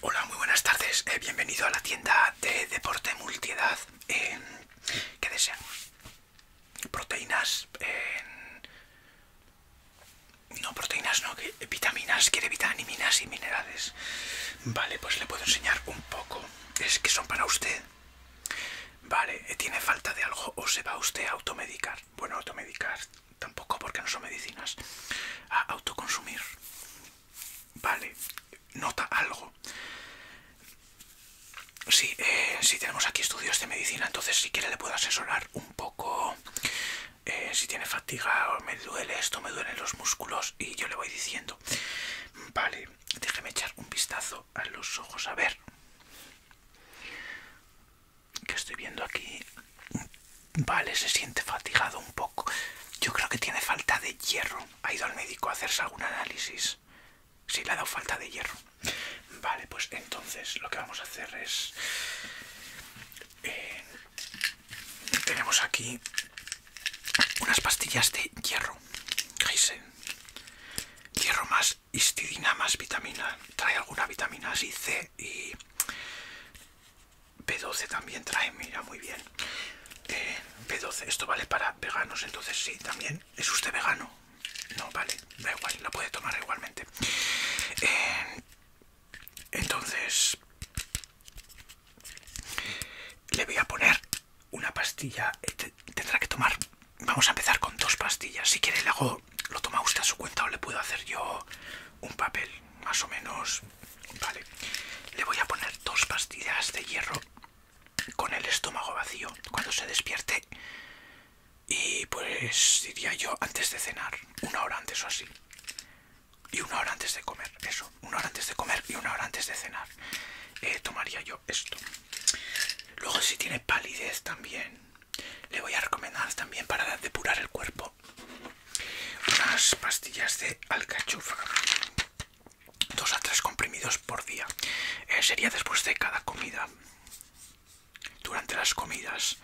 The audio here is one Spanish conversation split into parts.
Hola, muy buenas tardes. Eh, bienvenido a la tienda de deporte multiedad. ¿Qué desean? Proteínas. no, proteínas no. Eh, vitaminas. Quiere vitaminas y minerales. Vale, pues le puedo enseñar un poco. Es que son para usted. Vale, eh, ¿tiene falta de algo o se va usted a automedicar? Bueno, automedicar tampoco porque no son medicinas, a autoconsumir. Vale, nota algo. si eh, tenemos aquí estudios de medicina, entonces si quiere le puedo asesorar un poco eh, si tiene fatiga, o me duele esto, me duelen los músculos y yo le voy diciendo. Vale, déjeme echar un vistazo a los ojos, a ver. ¿Qué estoy viendo aquí? Vale, se siente fatigado un poco. Yo creo que tiene falta de hierro. Ha ido al médico a hacerse algún análisis. si le ha dado falta de hierro. Vale, pues entonces lo que vamos a hacer es... Eh, tenemos aquí unas pastillas de hierro. Geisen. Hierro más histidina más vitamina. Trae alguna vitamina así C y B12 también trae, mira, muy bien. Eh, P 12 esto vale para veganos, entonces sí, también. ¿Es usted vegano? No, vale, da igual, la puede tomar igualmente. Eh, entonces, le voy a poner una pastilla, eh, tendrá que tomar, vamos a empezar con dos pastillas, si quiere le hago lo toma usted a su cuenta o le puedo hacer yo un papel, más o menos. Vale, le voy a poner dos pastillas de hierro con el estómago vacío cuando se despierte. Y pues diría yo antes de cenar, una hora antes o así. Y una hora antes de comer, eso. Una hora antes de comer y una hora antes de cenar. Eh, tomaría yo esto. Luego si tiene palidez también, le voy a recomendar también para depurar el cuerpo unas pastillas de alcachofa, dos a tres comprimidos por día. Eh, sería después de cada comida, durante las comidas.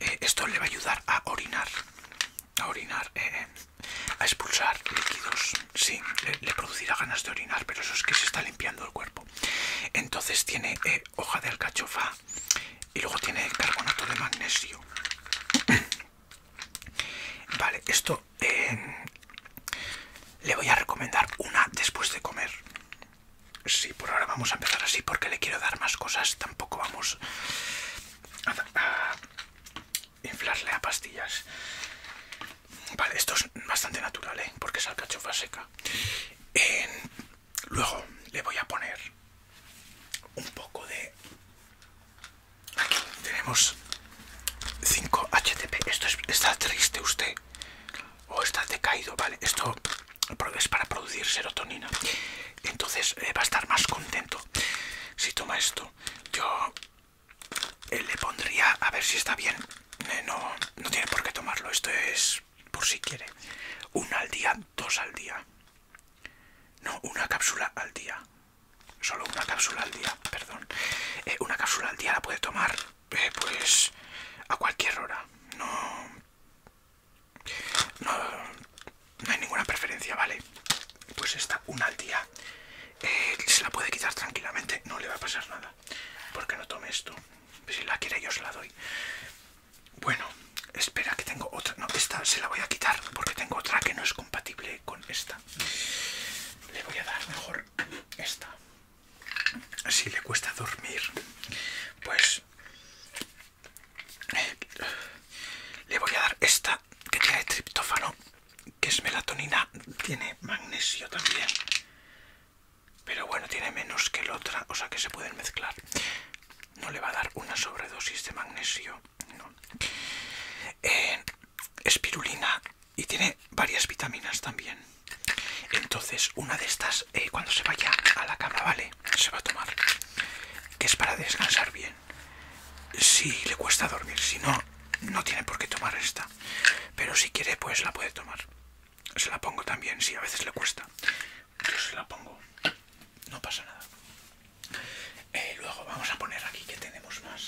Eh, esto le va a ayudar a orinar, a orinar, eh, a expulsar líquidos. Sí, le, producirá ganas de orinar, pero eso es que se está limpiando el cuerpo. Entonces tiene hoja de alcachofa, y luego tiene carbonato de magnesio. vale, esto eh, le voy a recomendar una después de comer. Sí, por ahora vamos a empezar así porque le quiero dar más cosas. Tampoco vamos a, inflarle a pastillas. Vale, esto es bastante natural, ¿eh? porque es alcachofa seca. Luego le voy a poner un poco de... Aquí tenemos 5 HTP. Esto está triste usted o está decaído, ¿vale? Esto es para producir serotonina. Entonces eh, va a estar más contento si toma esto. Yo eh, le pondría, a ver si está bien. Eh, no, no tiene por qué tomarlo. Esto es por si quiere. Una al día, dos al día. No, una cápsula al día. Solo una cápsula al día, perdón. Eh, una cápsula al día la puede tomar, eh, pues, a cualquier hora. No, no, hay ninguna preferencia, ¿vale? Pues esta, una al día, eh, se la puede quitar tranquilamente. No le va a pasar nada. Porque no tome esto. Si la quiere yo se la doy. Bueno, espera que tengo otra. No, esta se la voy a quitar porque tengo otra que no es compatible con esta. Le voy a dar mejor esta. Si le cuesta dormir, pues le voy a dar esta que tiene triptófano, que es melatonina, tiene magnesio también. Pero bueno, tiene menos que la otra, o sea que se pueden mezclar. No le va a dar una sobredosis de magnesio, no. Eh, espirulina y tiene varias vitaminas también. Entonces, una de estas, eh, cuando se vaya a la cama, ¿vale? Se va a tomar. Que es para descansar bien. Si le cuesta dormir, si no, no tiene por qué tomar esta. Pero si quiere, pues la puede tomar. Se la pongo también, si a veces le cuesta. Yo se la pongo. No pasa nada. Eh, luego vamos a poner aquí que tenemos más.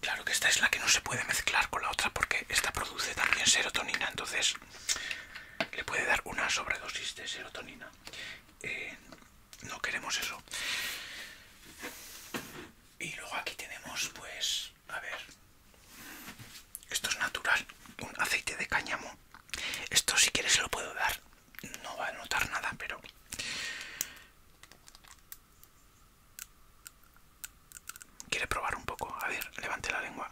Claro que esta es la que no se puede mezclar con la otra porque esta produce también serotonina, entonces le puede dar una sobredosis de serotonina. Eh, no queremos eso. Y luego aquí tenemos pues a ver, esto es natural, un aceite de cáñamo. Esto si quieres lo puedo dar, no va a notar nada, pero... ¿Quiere probar un poco? A ver, levante la lengua.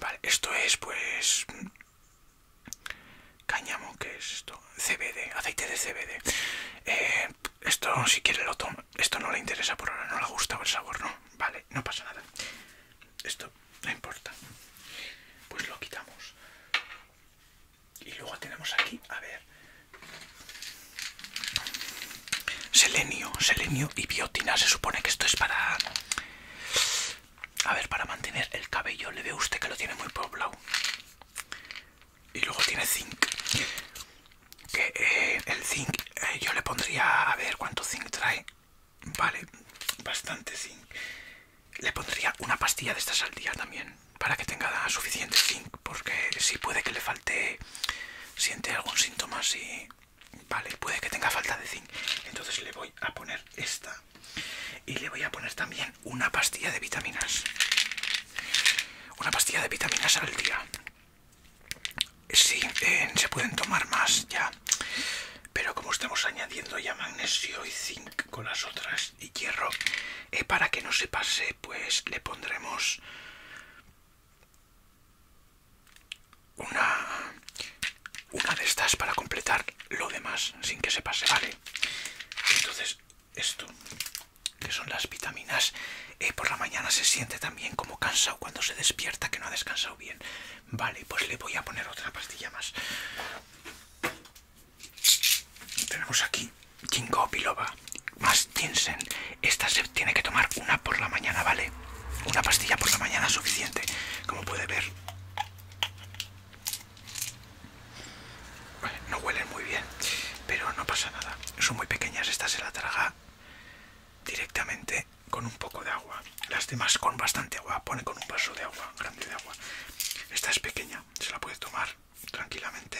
Vale, esto es pues... Cáñamo, ¿qué es esto? CBD, aceite de CBD. Eh, esto, si quiere, lo toma. Esto no le interesa por ahora, no le gusta el sabor, no. Vale, no pasa nada. Esto no importa. Pues lo quitamos. Y luego tenemos aquí, a ver. Selenio, selenio y biotina. Se supone que esto es para... A ver, para mantener el cabello. Le ve usted que lo tiene muy poblado y luego tiene zinc que eh, el zinc eh, yo le pondría a ver cuánto zinc trae vale bastante zinc le pondría una pastilla de estas al día también para que tenga suficiente zinc porque si puede que le falte siente algún síntoma si vale puede que tenga falta de zinc entonces le voy a poner esta y le voy a poner también una pastilla de vitaminas una pastilla de vitaminas al día Sí, eh, se pueden tomar más ya, pero como estamos añadiendo ya magnesio y zinc con las otras y hierro, eh, para que no se pase, pues le pondremos una, una de estas para completar lo demás sin que se pase, ¿vale? Entonces esto que son las vitaminas eh, por la mañana se siente también como cansado cuando se despierta que no ha descansado bien vale pues le voy a poner otra pastilla más tenemos aquí ginkgo biloba más Tinsen. esta se tiene que tomar una por la mañana vale una pastilla por la mañana suficiente como puede ver no huelen muy bien, pero no pasa nada. Son muy pequeñas, esta se la traga directamente con un poco de agua. Las demás con bastante agua, pone con un vaso de agua, grande de agua. Esta es pequeña, se la puede tomar tranquilamente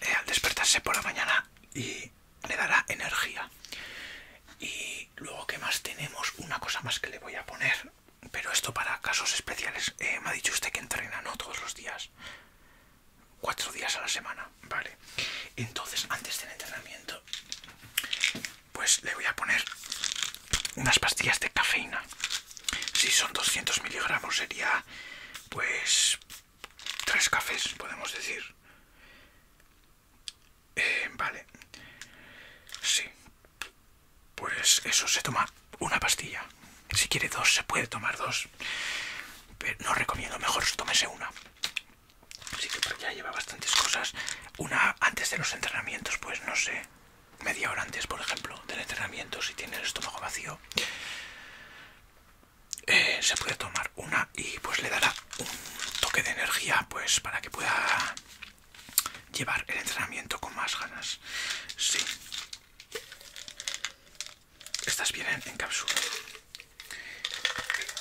eh, al despertarse por la mañana y le dará energía. Y luego, que más tenemos? Una cosa más que le voy a poner pero esto para casos especiales. Eh, me ha dicho usted que entrena, ¿no? Todos los días. Cuatro días a la semana. Vale. Entonces, antes del entrenamiento, pues le voy a poner unas pastillas de cafeína. Si son 200 miligramos, sería pues tres cafés, podemos decir. Eh, vale. Sí pues eso, se toma una pastilla. Si quiere dos, se puede tomar dos. Pero no recomiendo, mejor tomese una. Así que ya lleva bastantes cosas. Una antes de los entrenamientos, pues no sé, media hora antes, por ejemplo, del entrenamiento, si tiene el estómago vacío. Eh, se puede tomar una y pues le dará un toque de energía pues para que pueda llevar el entrenamiento con más ganas sí estas vienen en cápsula.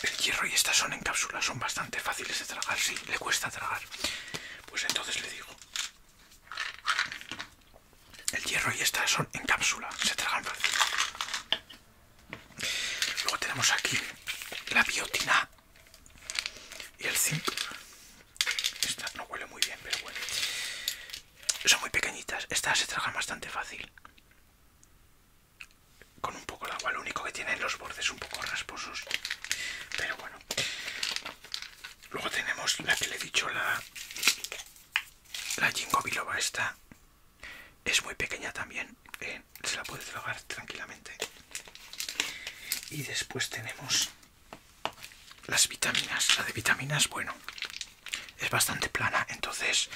El hierro y estas son en cápsula, son bastante fáciles de tragar, sí, le cuesta tragar. Pues entonces le digo. El hierro y estas son en cápsula, se tragan fácil. Luego tenemos aquí la biotina y el zinc. Esta no huele muy bien, pero bueno. Son muy pequeñitas. Estas se tragan bastante fácil. Con un poco de agua. Lo único que tienen los bordes un poco rasposos. Pero bueno. Luego tenemos la que le he dicho, la, la Jingo esta. Es muy pequeña también. Eh, se la puede tragar tranquilamente. Y después tenemos las vitaminas la de vitaminas bueno es bastante plana entonces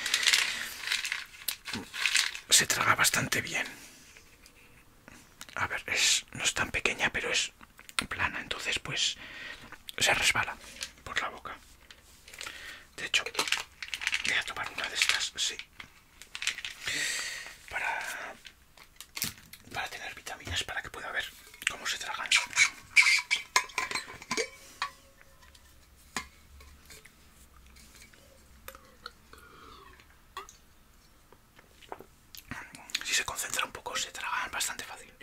mm, se traga bastante bien a ver no es tan pequeña pero es plana entonces pues se resbala por la boca de hecho voy a tomar una de estas sí para para tener vitaminas para que pueda ver cómo se tragan. Si se concentra un poco se tragan bastante fácil.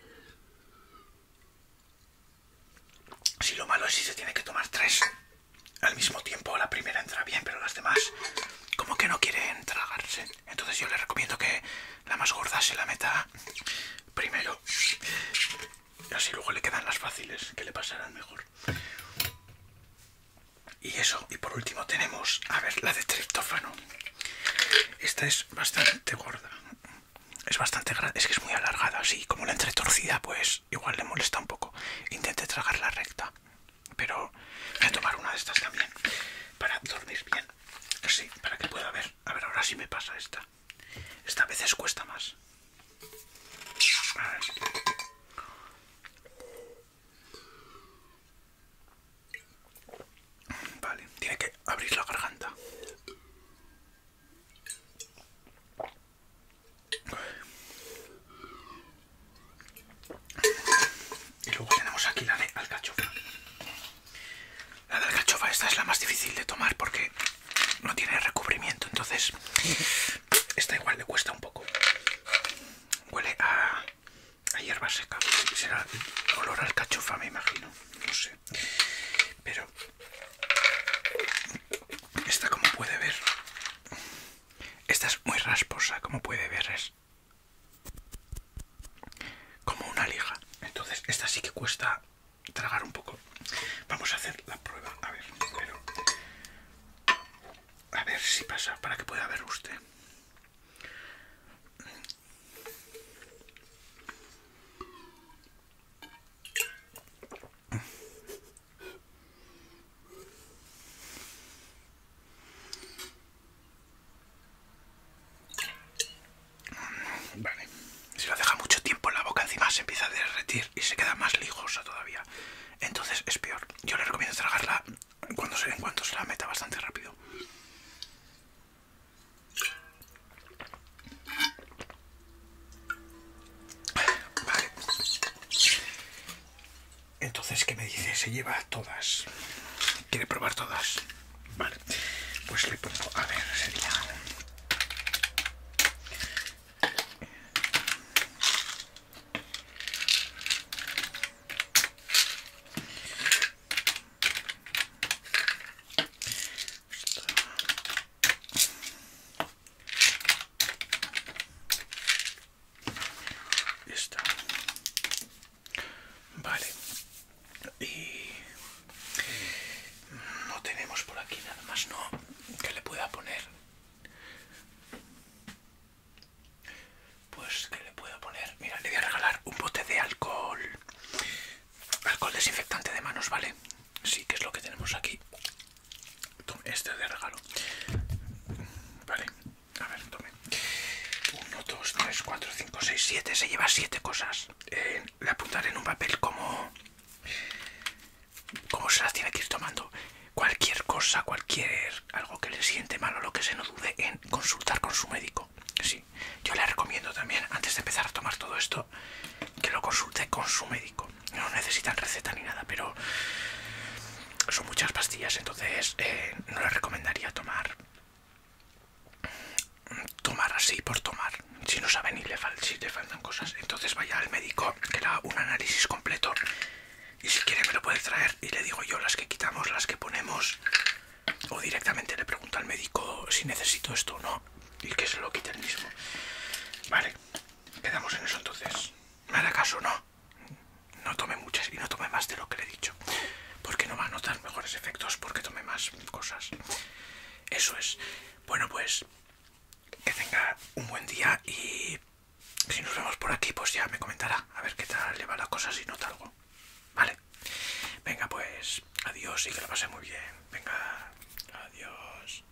Si lo malo es si se tiene que tomar tres al mismo tiempo, la primera entra bien, pero las demás como que no quieren tragarse. Entonces yo le recomiendo que la más gorda se la meta primero. así luego le quedan las fáciles, que le pasarán mejor. Y eso, y por último tenemos, a ver, la de triptófano. Esta es bastante gorda. Es bastante grande, es que es muy alargada, así como la entretorcida, pues igual le molesta un poco. Intente tragarla recta. Pero voy a tomar una de estas también para dormir bien. así, para que pueda ver. A ver, ahora sí me pasa esta. Esta a veces cuesta más. Vale, tiene que abrir la garganta. Y luego tenemos aquí la de alcachofa. La de alcachofa, esta es la más difícil de tomar porque no tiene recubrimiento, entonces esta igual le cuesta un poco. Huele a, hierba seca, será olor a alcachofa me imagino, no sé. Pero esta como puede ver, esta es muy rasposa como puede ver, como una liga. Entonces, esta sí que cuesta tragar un poco. Vamos a hacer la prueba, a ver, a ver si pasa para que pueda ver usted. Vale. Si la deja mucho tiempo en la boca, encima se empieza a derretir y se queda más lijosa todavía. Entonces es peor. Yo le recomiendo tragarla cuando se, en cuanto se la meta bastante rápido. Vale. Entonces, ¿qué me dice? Se lleva todas. ¿Quiere probar todas? Vale. Pues le pongo... A ver, sería está Vale. Y no tenemos por aquí nada más, ¿no? Que le pueda poner. Pues que le pueda poner. Mira, le voy a regalar un bote de alcohol. Alcohol desinfectante de manos, ¿vale? Sí, que es lo que tenemos aquí. Este de regalo. Vale. A ver, tome. 1, 2, 3, 4, 5, 6, 7. Se lleva 7 cosas. Eh, le apuntaré en un papel como... Como se las tiene que ir tomando. Cualquier cosa, cualquier... Algo que le siente mal o lo que se no dude en consultar con su médico. Sí. Yo le recomiendo también, antes de empezar a tomar todo esto, que lo consulte con su médico no necesitan receta ni nada, pero son muchas pastillas, entonces eh, no les recomendaría tomar tomar así por tomar si no saben ni le si le faltan cosas entonces vaya al médico que le haga un análisis completo y si quiere me lo puede traer y le digo yo las que quitamos las que ponemos o directamente le pregunto al médico si necesito esto o no y que se lo quite el mismo vale quedamos en eso entonces me caso no no tome muchas y no tome más de lo que le he dicho. Porque no va a notar mejores efectos porque tome más cosas. Eso es. Bueno, pues que tenga un buen día y si nos vemos por aquí, pues ya me comentará. A ver qué tal le va la cosa si nota algo. Vale. Venga, pues adiós y que lo pase muy bien. Venga, adiós.